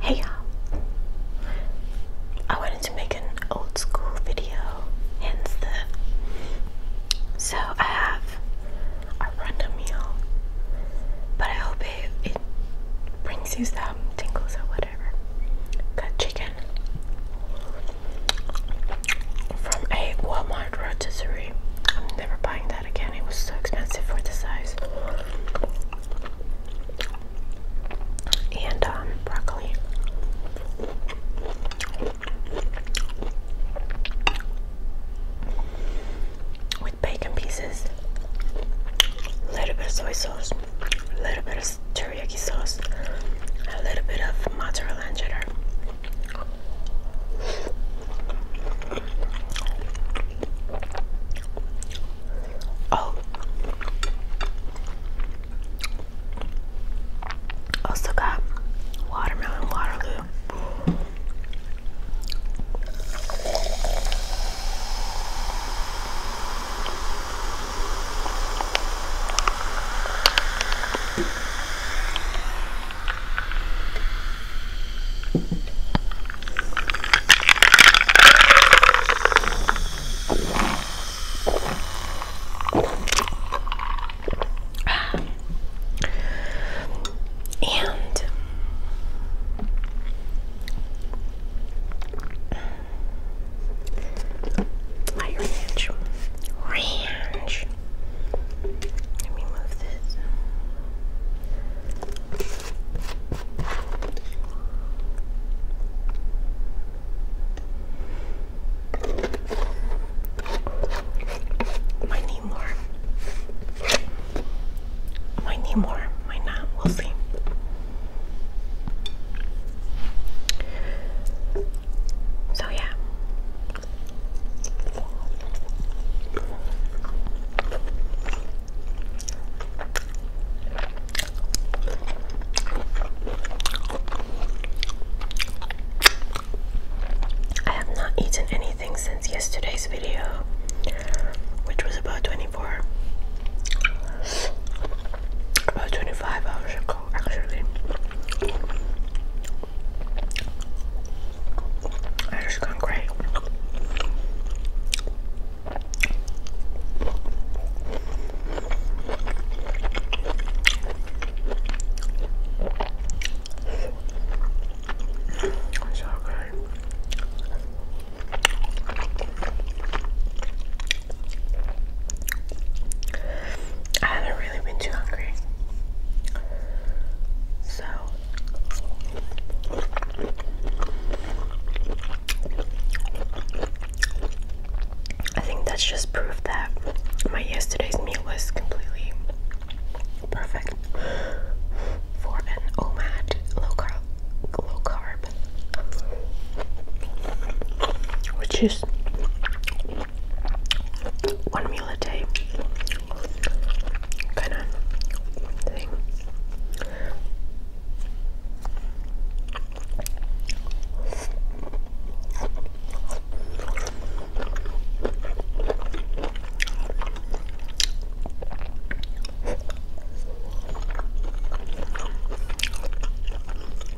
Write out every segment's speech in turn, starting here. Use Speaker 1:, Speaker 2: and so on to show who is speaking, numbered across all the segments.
Speaker 1: Hey y'all! I wanted to make an old school video, hence the. So I have a random meal, but I hope it, it brings you some tingles or whatever. Got chicken from a Walmart rotisserie. I'm never buying that again. It was so expensive for the size. And um, broccoli. With bacon pieces, a little bit of soy sauce, a little bit of teriyaki sauce, a little bit of mozzarella and cheddar. Oh, also got watermelon Waterloo. And my ranch, let need more. Might need more. Might not. We'll see. So yeah, I have not eaten anything since yesterday's video, which was about 24, about 25 hours ago, actually. It's gone great. It's good. I haven't really been too hungry. So I think that's just proof that my yesterday's meal was completely perfect for an OMAD low carb low carb which is one meal a day kind of thing.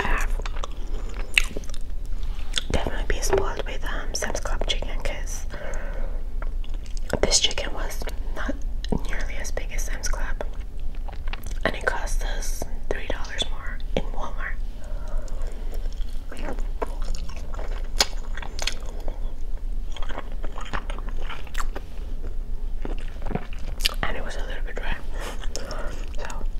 Speaker 1: I have definitely be spoiled with um, Sam's Club chicken because this chicken was not nearly as big as Sam's Club and it cost us three dollars more in Walmart. And it was a little bit dry. So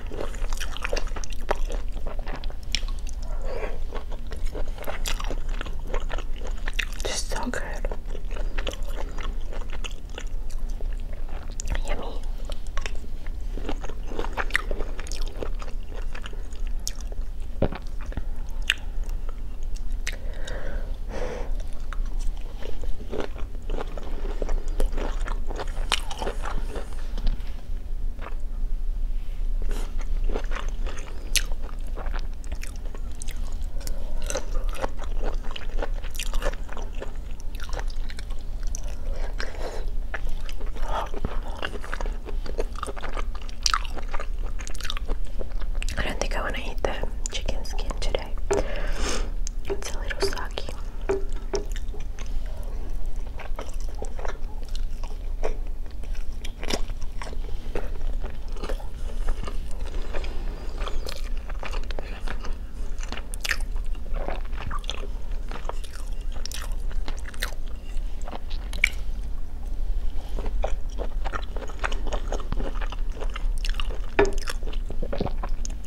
Speaker 1: Just so good. Yummy. I don't think I want to eat the chicken skin today today. It's a little soggy.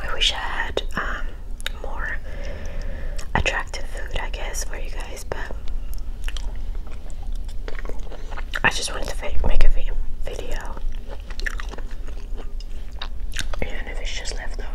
Speaker 1: I wish I had um, more attractive food, I guess, for you guys, but I just wanted to make a video even if it's just leftovers.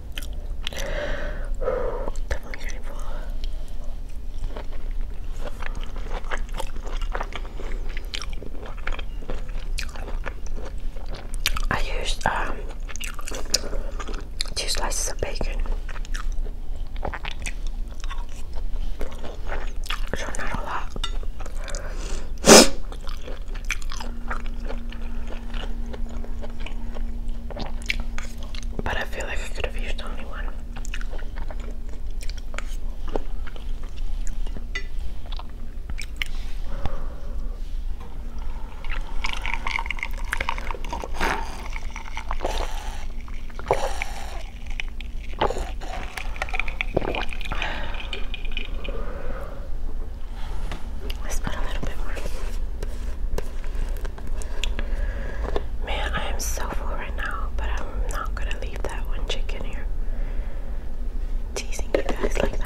Speaker 1: I used um, two slices of bacon. So not a lot. But I feel like I could have used only one. Let's put a little bit more. Man, I am so full right now, but I'm not gonna leave that one chicken here. Teasing you guys like that.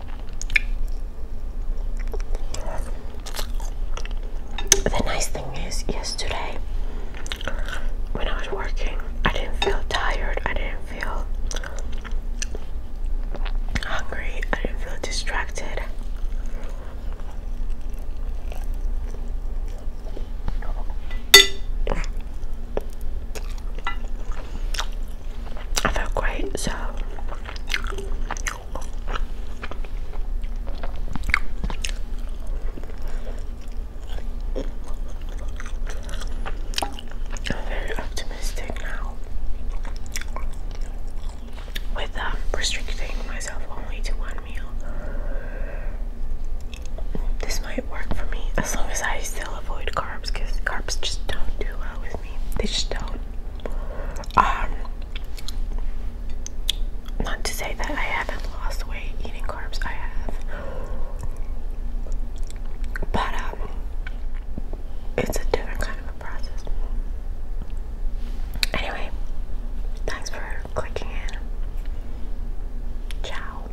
Speaker 1: The nice thing is, yesterday when I was working, I didn't feel tired, I didn't feel hungry, I didn't feel distracted. I feel great, so I'm very optimistic now with um, restricting myself only to one meal. This might work for me as long as I still avoid carbs because carbs just don't do well with me. They just don't. Um, not to say that I haven't lost weight eating carbs, I have. But um, it's a different kind of a process. Anyway, thanks for clicking in. Ciao.